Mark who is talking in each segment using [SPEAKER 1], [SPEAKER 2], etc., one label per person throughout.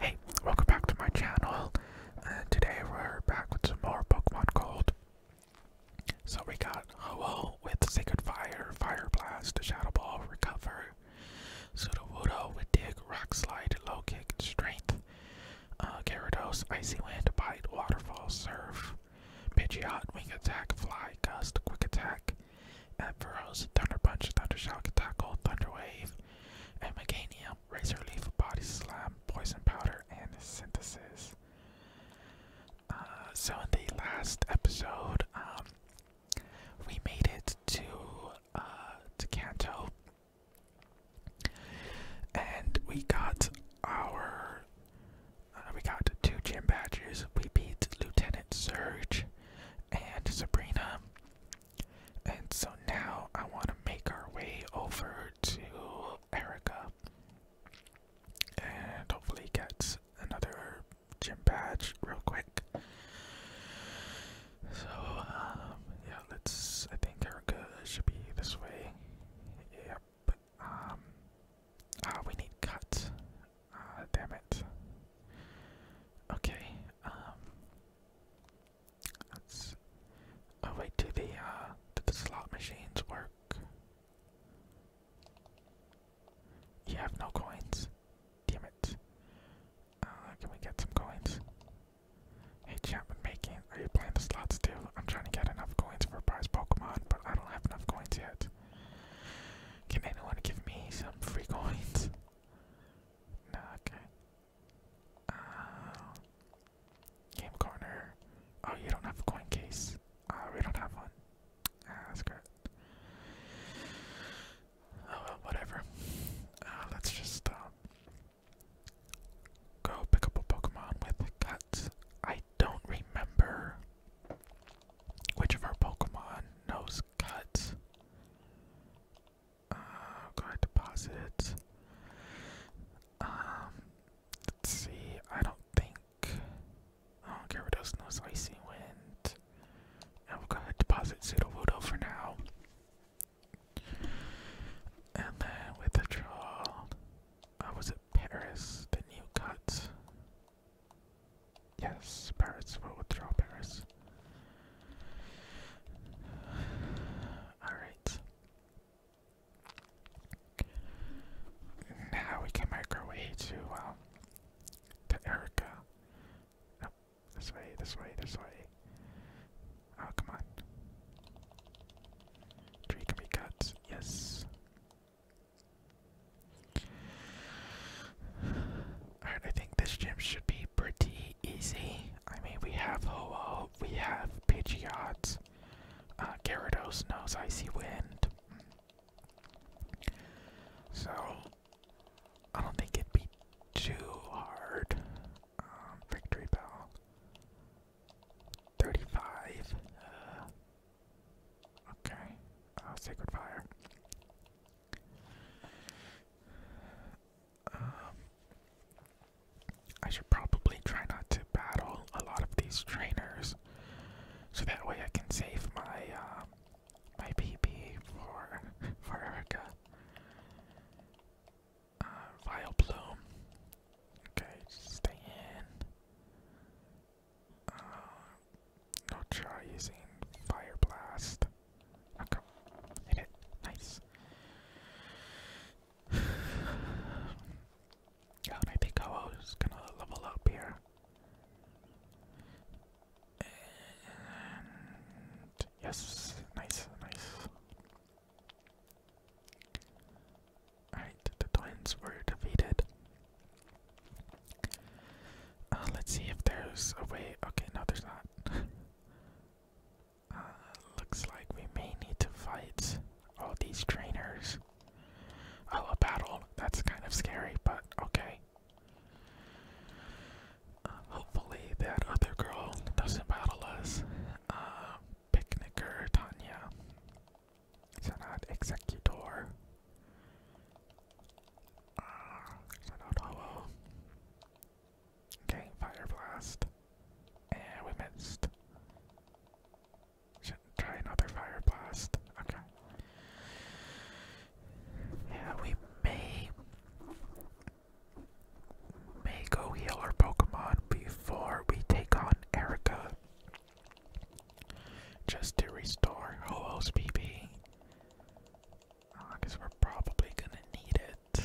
[SPEAKER 1] Hey, welcome back to my channel. Uh, today we're back with some more Pokemon Gold. So we got Ho-Oh with Sacred Fire, Fire Blast, Shadow Ball, Recover, Sudowoodo with Dig, Rock Slide, Low Kick, Strength, uh, Icy Wind, Bite, Waterfall, Surf, Pidgeot, Wing Attack, Fly, Gust, Quick Attack, Ampharos, Thunder Punch, Thunder Shock, Tackle, Thunder Wave, Amaganium, Razor Leaf, Body Slam, Poison Powder, and Synthesis. Uh, so in the last episode, um, we made it to uh, to Kanto, and we got our uh, we got two gym badges. We beat Lieutenant Surge and Sabrina, and so now I want to make our way over to Erica and hopefully get another gym badge real quick. So, um, yeah, let's. I think Erica should be this way. Yep. Um, ah, we need cut. Ah, damn it. Okay, um, that's oh wait, do the uh do the slot machines work? You have no coins. Damn it. Uh, can we get some coins? Hey Chapman making are you playing the slots too? I'm trying to get enough coins for a prize Pokemon, but I don't have enough coins yet. Can anyone give me some free coins? okay. Uh, game corner. Oh, you don't have a coin case. Uh, we don't have one. Ah, that's great. Oh well, whatever. Uh, let's just uh, go pick up a Pokemon with Cut. I don't remember which of our Pokemon knows Cut uh, card deposits. Um, let's see. I don't think. I don't care what else knows. Icy Wind. And we'll go ahead and deposit Sudowoodo for now. And then with the draw, uh, was at Paris? The new cut. Yes, parrots will withdraw parrots. Alright. Now we can make our way to, um, to Erica. this way, this way, this way. Oh, come on. Tree can be cut, yes. Alright, I think this gym should be pretty easy. I mean, we have Ho-Oh, we have Pidgeot, uh, Gyarados knows Icy Wind. So, I don't think it'd be too hard. Um, Victory Bell. 35. Uh, okay. Uh, Sacred Fire. Um, I should probably try not to battle a lot of these trainers, so that way I can save my uh, my PP for for Erica. Uh, Okay, stay in. Uh, not will try using Fire Blast. Oh, Hit Nice. God, I think I was gonna level up here. And yes, nice, nice. Alright, the twins were defeated. Uh, let's see if there's a way. Okay, no, there's not. Uh, looks like we may need to fight all these trainers. Oh, a battle. That's kind of scary, but okay. Uh, hopefully, that other girl doesn't battle us. Uh, Picnicker Tanya. It's not Executor. Okay, fire blast. And we missed. Should try another fire blast. Okay. Yeah, we may may go heal our Pokemon before we take on Erica. Just to restore Holos PP. Oh, I guess we're probably gonna need it.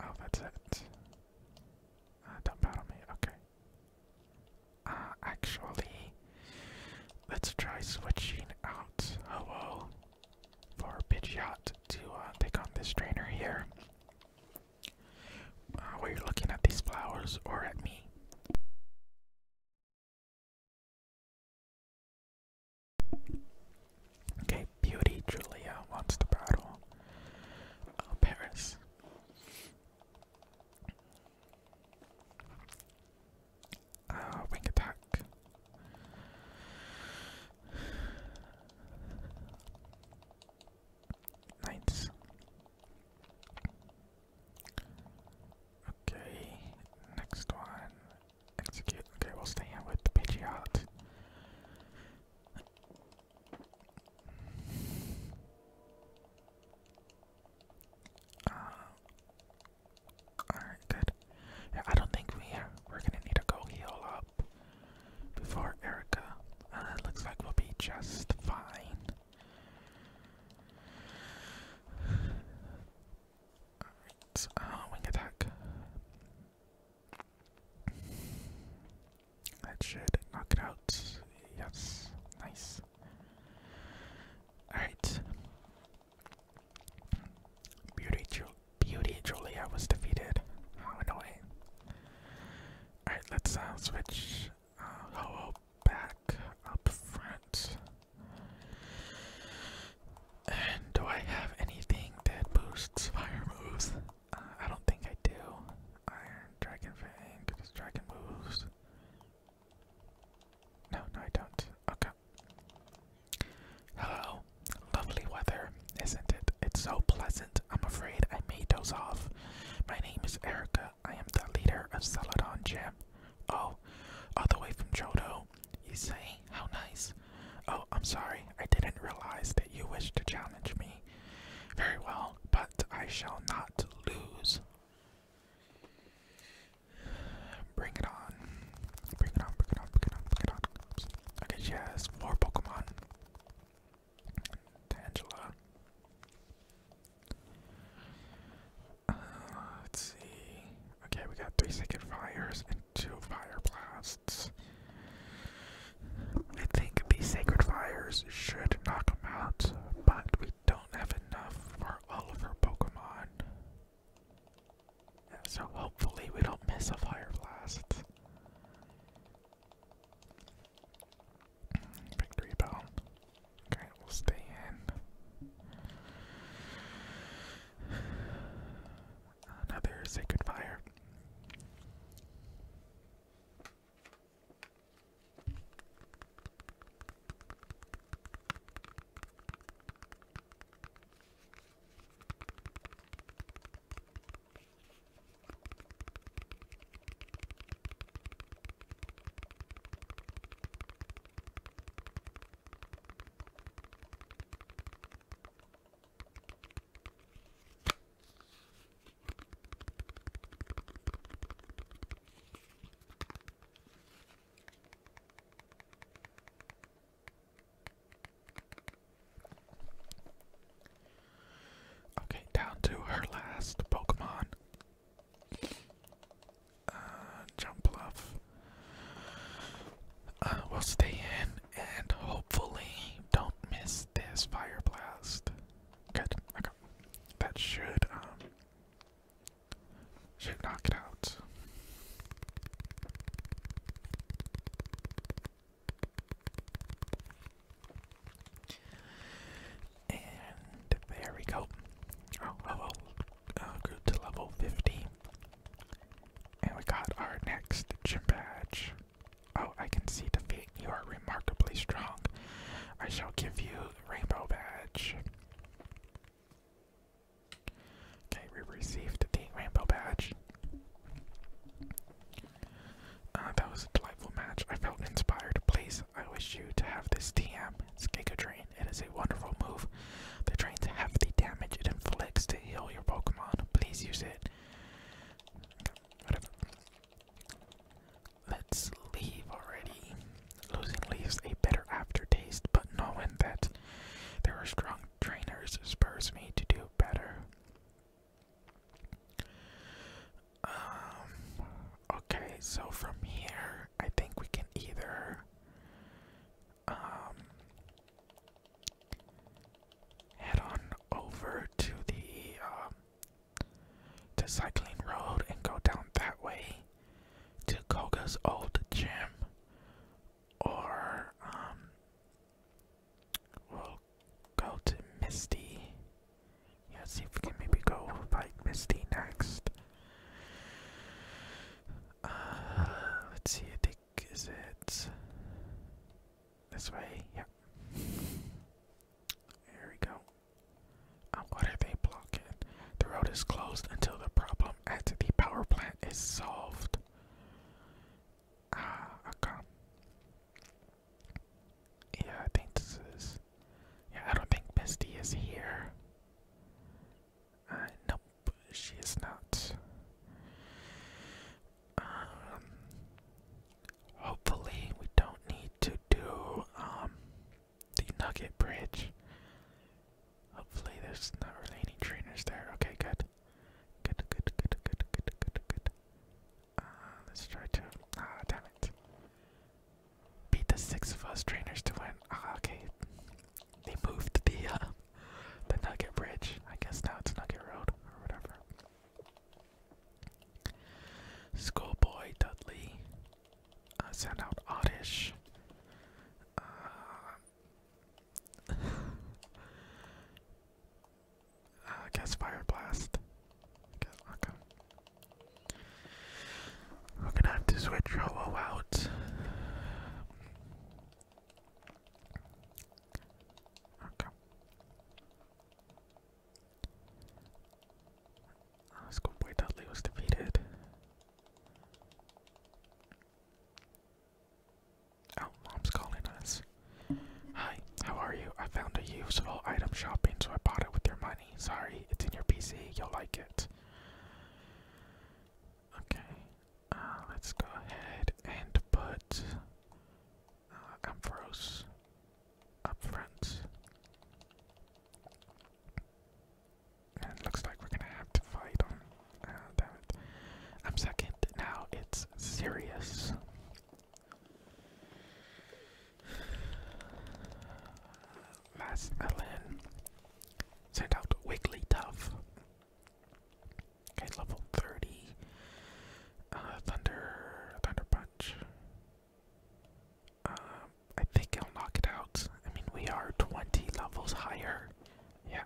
[SPEAKER 1] Oh, that's it. Uh, don't battle me, okay. Uh, actually, let's try switching out Ho-Oh for Pidgeot to uh, take on this trainer here. Uh, you looking at these flowers or at me. Okay, Beauty Julia wants to battle uh, Paris. Uh, wing attack. Knights. Okay, next one Execute. Okay, we'll stay here with the Pidgeot. Uh, Alright, good. Yeah, I don't think we We're gonna need to go heal up before Erica. Uh, looks like we'll be just fine. Alright, uh, wing attack. That should knock it out. Yes, nice. Alright. Beauty, Ju Beauty Julia was defeated. How annoying. Alright, let's uh, switch uh, back up front. And do I have anything that boosts fire moves? Uh, I don't think I do. Iron Dragon Fang, because Dragon moves. No, no, I don't. Okay. Hello. Lovely weather, isn't it? It's so pleasant. I'm afraid I made those off. My name is Erica. I am the leader of Celadon Gym. Oh, all the way from Jodo, You say? How nice. Oh, I'm sorry. I didn't realize that you wished to challenge me. Very well, but I shall not lose. Bring it on. Bring it on, bring it on, bring it on, bring it on. Okay, she has four Pokemon. Tangela let's see. Okay, we got three sacred fires and two fire blasts. I think these sacred fires should knock them out, but we don't have enough for all of our Pokemon. so hopefully we don't miss a fire blast. Victory bell. Okay, we'll stay in. Another sacred fire. Okay, down to her last Pokemon. Uh, jump bluff. Uh, we'll stay in and hopefully don't miss this fire blast. Good. Okay. That should um should knock it out. And there we go. Oh, oh, oh. Uh, grew to level 50. And we got our next gym badge. Oh, I can see defeat. You are remarkably strong. I shall give you the rainbow badge. Okay, we received the rainbow badge. Uh, that was a delightful match. I felt inspired. Please, I wish you to have this TM. It's Giga Dream. It is a wonderful move. The trains have the damage it inflicts to heal your Pokemon. Please use it. Let's leave already. Losing leaves a bitter aftertaste, but knowing that there are strong trainers spurs me to do better. Um, okay, so from here, I think we can either um, head on over to the um, to Cycling Road and go down that way to Koga's old gym, or um, we'll go to Misty. Let's see if we can maybe go fight Misty next. Uh, let's see, I think, is it this way? Yep. There we go. Um, are they blocking? The road is closed until the problem at the power plant is solved. Ah, okay. Yeah, I think this is yeah, I don't think Misty is here. Uh, nope, she is not. Um, hopefully, we don't need to do um the Nugget Bridge. Hopefully, there's not really any trainers there. Okay, good. Good, good, good, good, good, good, uh, let's try to. Ah, damn it beat the six of us trainers to win. Ah, okay. They moved the uh, the Nugget Bridge. I guess now it's Nugget Road or whatever. Schoolboy Dudley uh, sent out Oddish. Uh, uh Fire Blast. Okay, we're gonna have to switch Rolo out. Okay. Let's go boy Dudley was defeated. Oh, mom's calling us. Hi, how are you? I found a useful item shopping, so I bought it with your money. Sorry, it's in your PC. You'll like it. Okay, uh, let's go ahead and put uh, Ampharos up front. And looks like we're gonna have to fight on. damn it. I'm second. Now it's serious. Last Ellen sent out Wigglytuff. Okay, level 30. Uh, Thunder, Thunder Punch. Um, I think I'll knock it out. I mean, we are 20 levels higher. Yeah.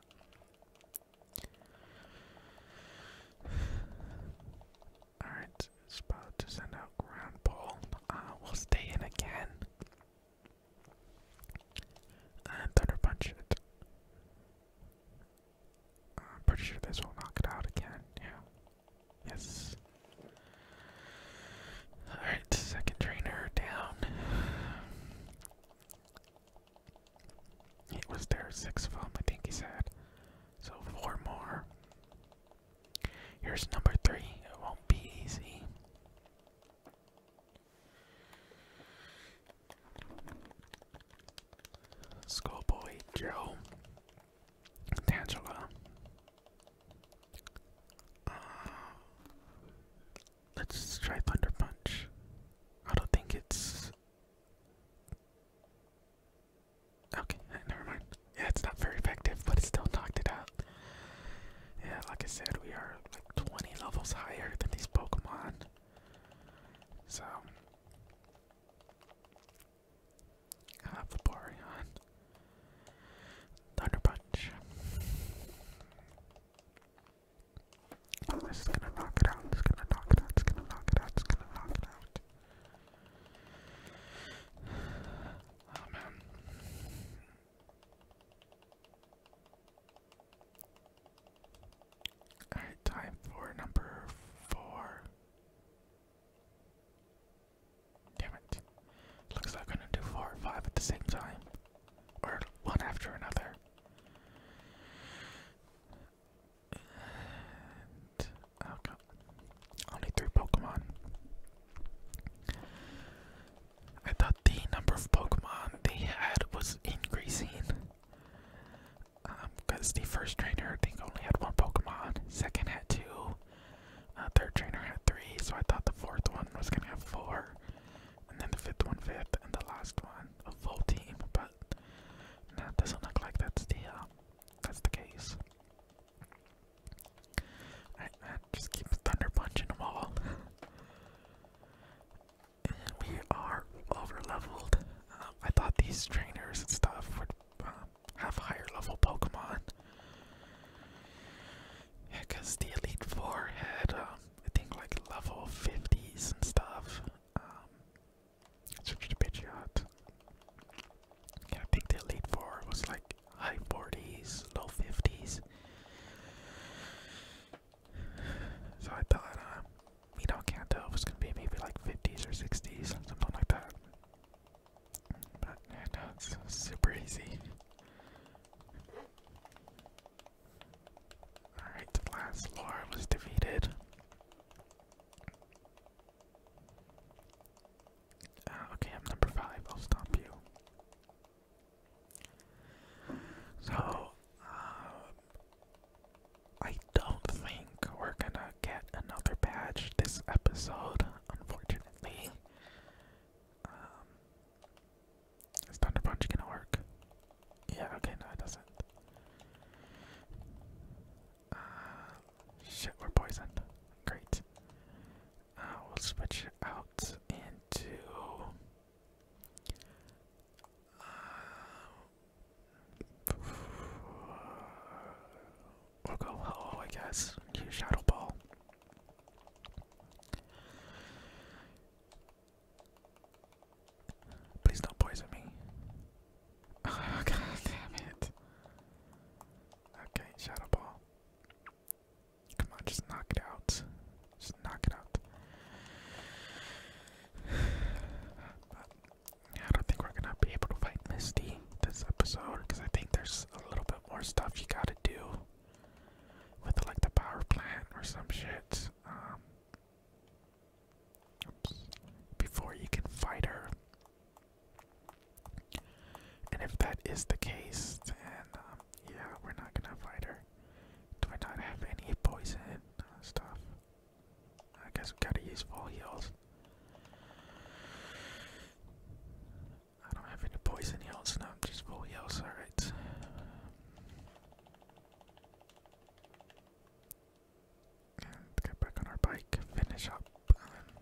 [SPEAKER 1] Alright, it's about to send out Ground Ball. Uh, will stay in again. And Thunder Punch it. I'm pretty sure this will knock it out again, yeah. Yes. Alright, second trainer down. It was their sixth film, I think he said. So four more. Here's number three. It won't be easy. Schoolboy Joe. D'Angela. Uh, let's try Thunder Punch. I don't think it's. Okay, never mind. Yeah, it's not very effective, but it still knocked it out. Yeah, like I said, we are like 20 levels higher than these Pokemon. So, I Thunder Punch. Oh, this is gonna knock it out, it's gonna knock it out, it's gonna knock it out, it's gonna knock it out. Oh, Amen. Alright, time for number four. Damn it. Looks like I'm gonna do four and five at the same time. Or one after another. And, oh only three Pokemon. I thought the number of Pokemon they had was increasing. Because um, the first trainer, I think, only had one Pokemon, second had two, uh, third trainer had three, so I thought the fourth one was going to have four, and then the fifth one, fifth, and the last one, a full team, but that doesn't look like that's the, uh, that's the case. Alright, just keep thunder punching them all. and we are over leveled. Um, I thought these trainers and stuff would um, have higher level Pokemon. Yeah, because the Elite Four had, um, I think, like level 50s and stuff. Um, it's Richard Pidgeot. Yeah, I think the lead for was like high 40s, low 50s. So I thought, um, you know, Kanto was gonna be maybe like 50s or 60s, something like that. But yeah, no, it's super easy. Alright, the last lore was defeated. Uh, okay, I'm number five. I'll stop you. So, uh, I don't think we're gonna get another badge this episode, unfortunately. Um, is Thunder Punch gonna work? Yeah, okay, no, it doesn't. Uh, shit, we're poisoned. Great. Uh, will switch out into uh, go hello, I guess. shadow ball. Please don't poison me. Oh god it. Okay, shadow ball. Come on, just knock it out. Just knock it out. I don't think we're gonna be able to fight Misty this episode because I think there's a little bit more stuff you gotta do with like the power plant or some shit. Um, before you can fight her. And if that is the case, then um, yeah, we're not gonna fight her. Do I not have any poison uh, stuff? I guess we gotta use full heals. I don't have any poison heals, no, just full heals, alright. And get back on our bike, finish up. Um,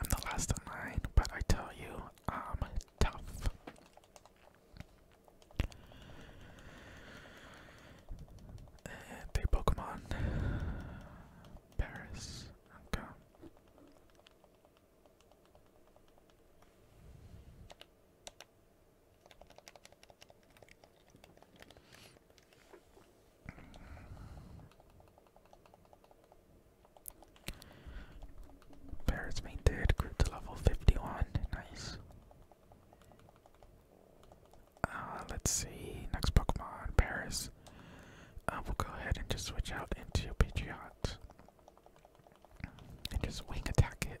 [SPEAKER 1] I'm the last of line, but I tell you, I'm tough. And Pokemon Paris. Paris made third, to level 51. Nice. Uh, let's see. Next Pokemon, Paris. Uh, we'll go ahead and just switch out into Patriot. And just wing attack it.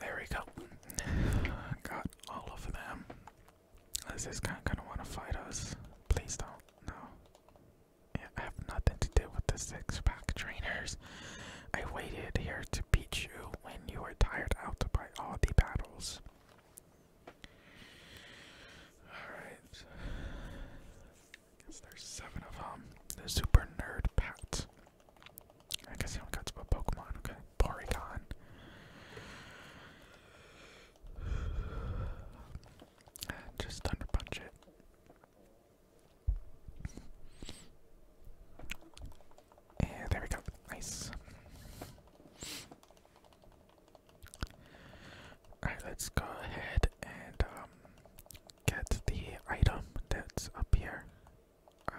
[SPEAKER 1] There we go. Got all of them. This is kind of want to fight us. Please don't. No. Yeah, I have nothing to do with the six pack trainers. I waited here to beat you when you were tired out by all the battles. Alright. Guess there's seven of them. The super nerd pat. I guess you only got to Pokemon, okay. Porygon. Just thunder punch it. Eh, there we go. Nice. Alright, let's go ahead and um, get the item that's up here. Uh,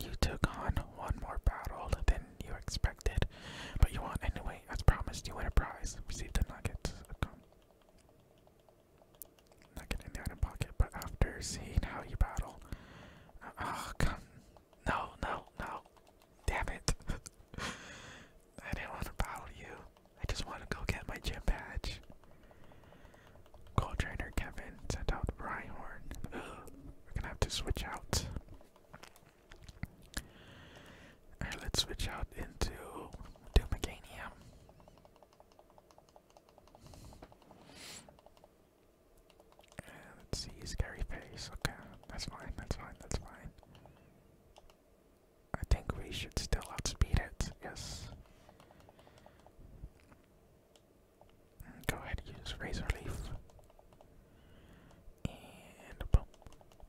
[SPEAKER 1] you took on one more battle than you expected, but you won anyway. As promised, you win a prize. Receive the nuggets. Not getting the item pocket, but after seeing how you battle. Uh, oh, come. No, no, no. Damn it. I didn't want to battle you. I just want to go get my gym badge. Gold trainer Kevin sent out Rhyhorn. we're gonna have to switch out. let's switch out into Doomagania let's see, scary face. Okay, that's fine, that's fine, that's fine. I think we should still outspeed it, yes. Go ahead, use Razor Leaf. And boom.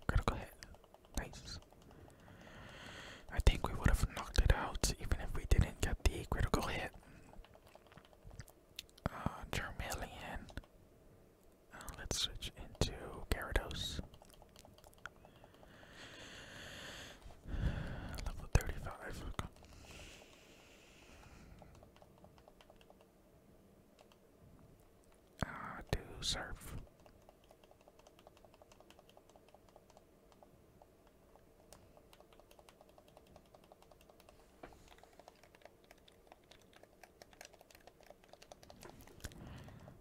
[SPEAKER 1] Critical hit. Nice. I think we would have knocked it out even if we didn't get the critical hit. Charmeleon. Uh, uh, let's switch into Gyarados. Level 35. Ah, do surf.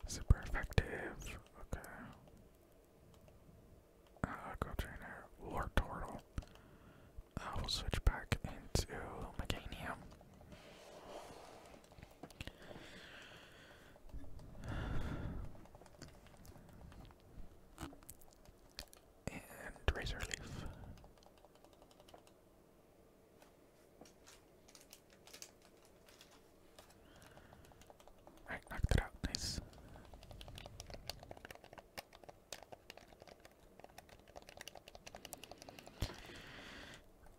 [SPEAKER 1] Super effective. Okay. Uh, go trainer. Lord Turtle. Uh, will switch back into Meganium and razor leaf. Alright, knocked it out, nice.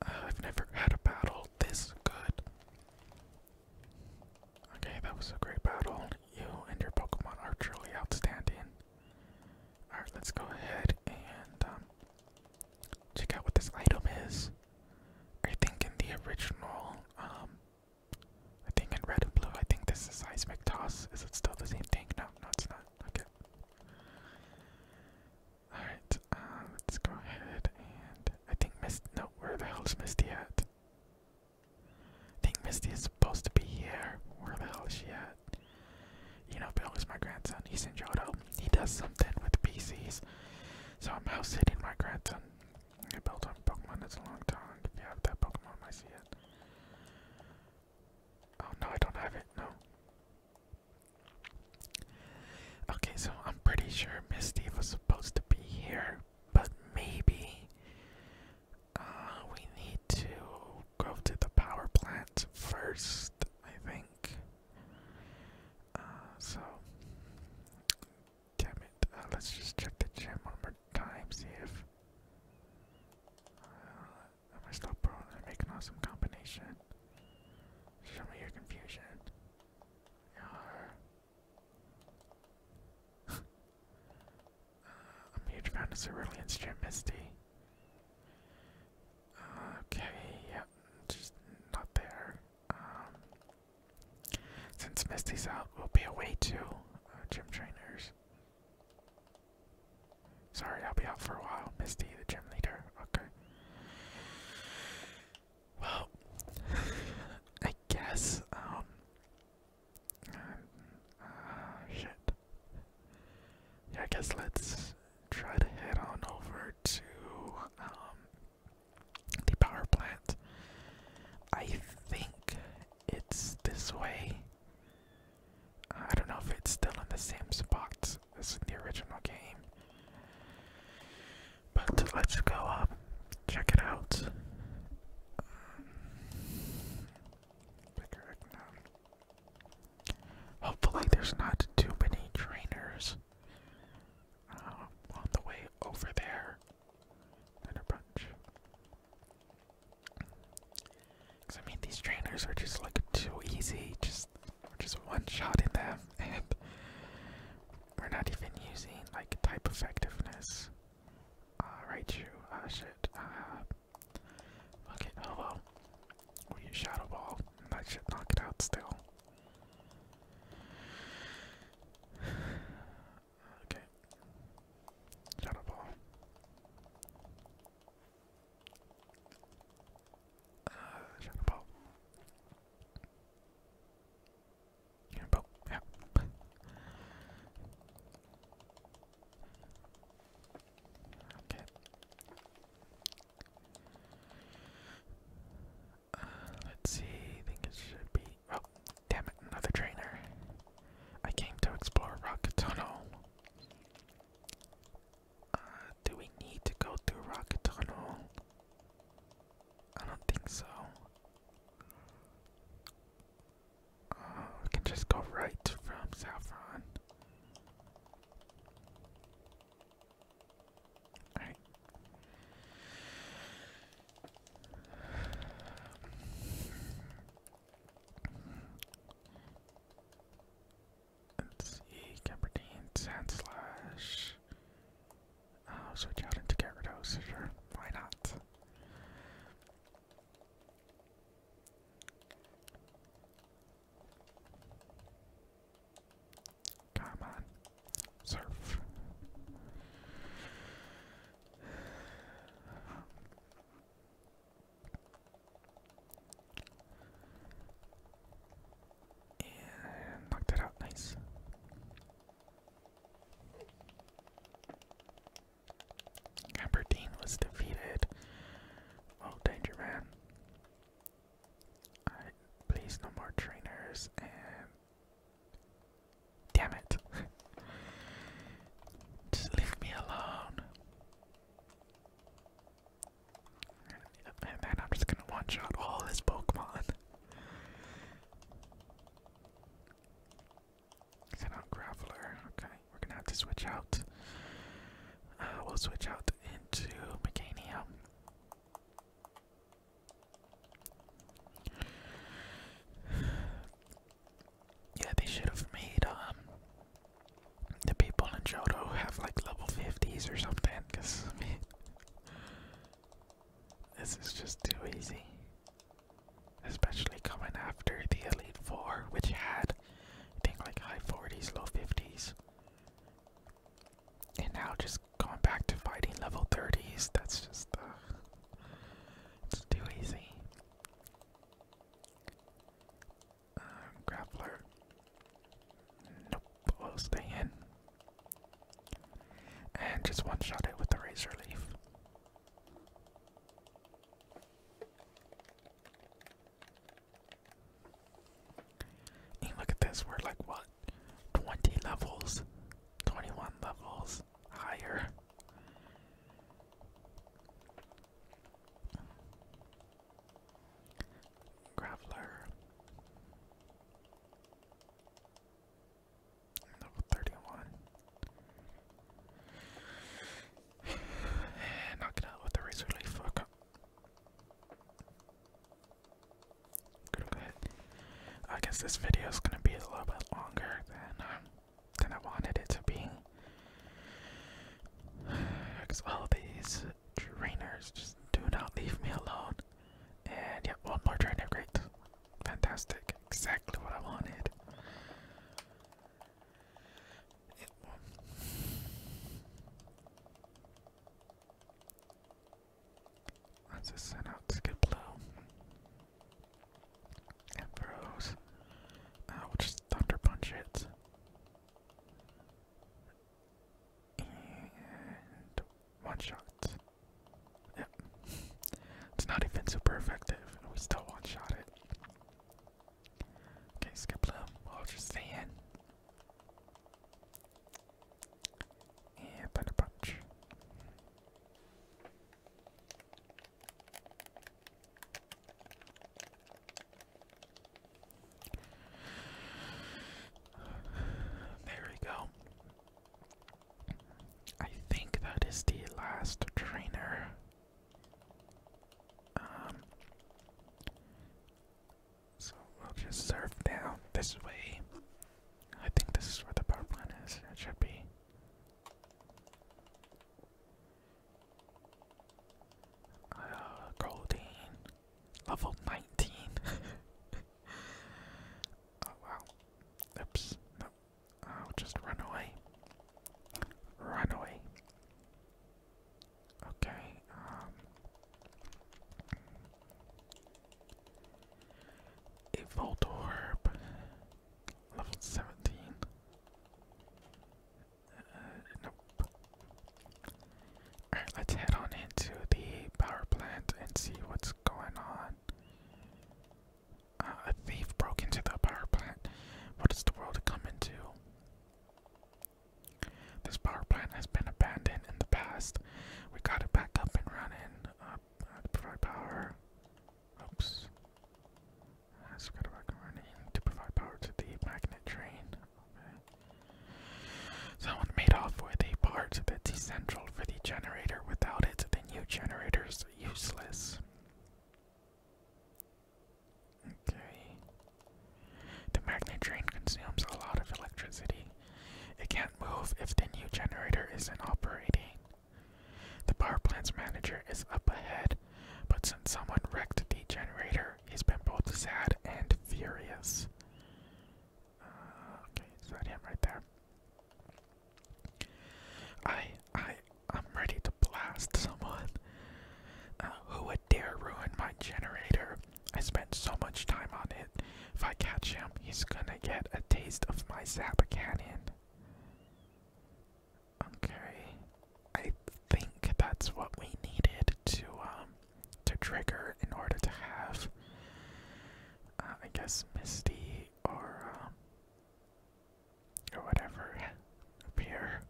[SPEAKER 1] I've never had a battle this good. Okay, that was a great battle. You and your Pokemon are truly outstanding. Alright, let's go ahead and um, check out what this item is. I think in the original, um, I think in red and blue, I think this is Seismic Toss. Is it still the same thing? No, no, it's not. Okay. Alright, uh, let's go ahead and. I think Mist. No, where the hell is Misty at? I think Misty is supposed to be here. Where the hell is she at? You know, Bill is my grandson. He's in Johto. He does something with PCs. So I'm house sitting my grandson. I built on Pokemon. It's a long time. If you have that Pokemon, I see it. Oh no, I don't have it. No. Okay, so I'm pretty sure Misty was supposed to be here but maybe uh, we need to go to the power plant first, I think. Uh, so, damn it. Uh, let's just check the gym one more time, see if. am I still prone? I make an awesome combination. Show me your confusion. Uh, I'm a huge fan of Cerulean's Gym Misty. okay, yep, just not there. Um, since Misty's out, we'll be away too, uh, gym trainers. Sorry, I'll be out for a while. Misty, the gym leader. Okay. Well, I guess, um, uh, shit. Yeah, I guess let's try to head on over to, um, the power plant. I think it's this way. I don't know if it's still in the same spot as in the original game. But let's go up, check it out. Hopefully, there's not too many trainers uh, on the way over there. And bunch. Because, I mean, these trainers are just like too easy, just, just one shot in them, and we're not even using like type effectiveness. Uh, you? uh, shit, uh, fuck it, hello. Oh Shadow Ball, that should knock it out still. okay. Shadow Ball. Uh, Shadow Ball yeah. Uh, let's see. I think it should be. Oh, damn it! Another trainer. I came to explore Rockatunnel. Uh, do we need to go through Rockatunnel? I don't think so. Oh, we can just go right from Saffron. Let's see, Cabardine Slash. I'll oh, switch out into Gyarados, sure. Why not? Come on. Surf. And knocked it out, nice. Aberdeen was defeated. Oh, Danger Man. please, no more trainers and. Damn it. Just leave me alone. And then I'm just gonna one shot all his Pokemon. Send out Graveler. Okay, we're gonna have to switch out. Uh, we'll switch out into Meganium. Yeah, they should have made um, the people in Johto have like level fifties or something, cause I mean this is just too easy. Especially coming after the Elite Four, which had, I think, like high 40s, low 50s. And now just going back to fighting level 30s, that's just, uh, too easy. Um, grappler. Nope. We'll stay in. And just one shot it with the razor leaf. And look at this, we're like what? 20 levels, 21 levels higher. Graveler. Level 31. Knock it out with the razor leaf. Okay. Good, good. I guess this video is gonna be a little bit longer than um, than I wanted it to be. Because all these trainers just do not leave me alone. And yeah, one more train great, Fantastic. Exactly what I wanted. Yep. just send out Skid Blow. And throws. Ah, will just Thunder Punch it one shot. Yep. It's not even super effective, and we still one shot it. Okay, skip them. We'll just stay in. Yeah, Thunder Punch. There we go. I think that is the last trainer. Um, so we'll just surf down this way. I think this is where the power plant is. It should be. Uh, Goldine. Level 19. oh wow. Oops. No. just run away. Run away. Okay, um. A Voltorb. Level 17. Uh, Alright, let's head on into the power plant and see what's going on. Uh, a thief broke into the power plant. What is the world coming to? This power plant has been abandoned in the past. We got it back up and running. Uh, uh, to provide power. Oops. Let's it back and running to provide power to the magnet train. Someone made off with a part that's essential for the generator. Without it, the new generator's useless. Okay. The magnet train consumes a lot of electricity. It can't move if the new generator isn't operating. The power plant's manager is up ahead, but since someone wrecked the generator, he's been both sad and furious okay, it's that him right there. I, I, I'm ready to blast someone. Uh, who would dare ruin my generator? I spent so much time on it. If I catch him, he's gonna get a taste of my zap cannon. Okay, I think that's what we needed to um to trigger in order to have, uh, I guess, Misty or um, or whatever appear.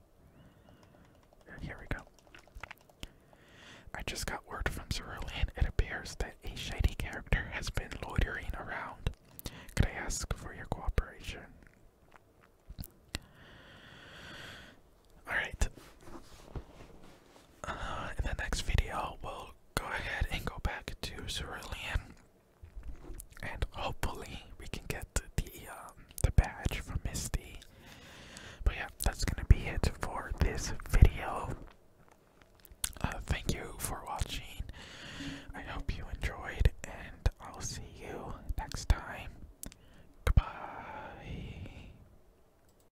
[SPEAKER 1] Here we go. I just got word from Cerulean. It appears that a shady character has been loitering around. Could I ask for your cooperation? Alright. Uh, in the next video, we'll go ahead and go back to Cerulean, and hopefully we can get the um, the badge from Misty. But yeah, that's gonna be it for this video. Uh, thank you for watching. I hope you enjoyed, and I'll see you next time. Goodbye.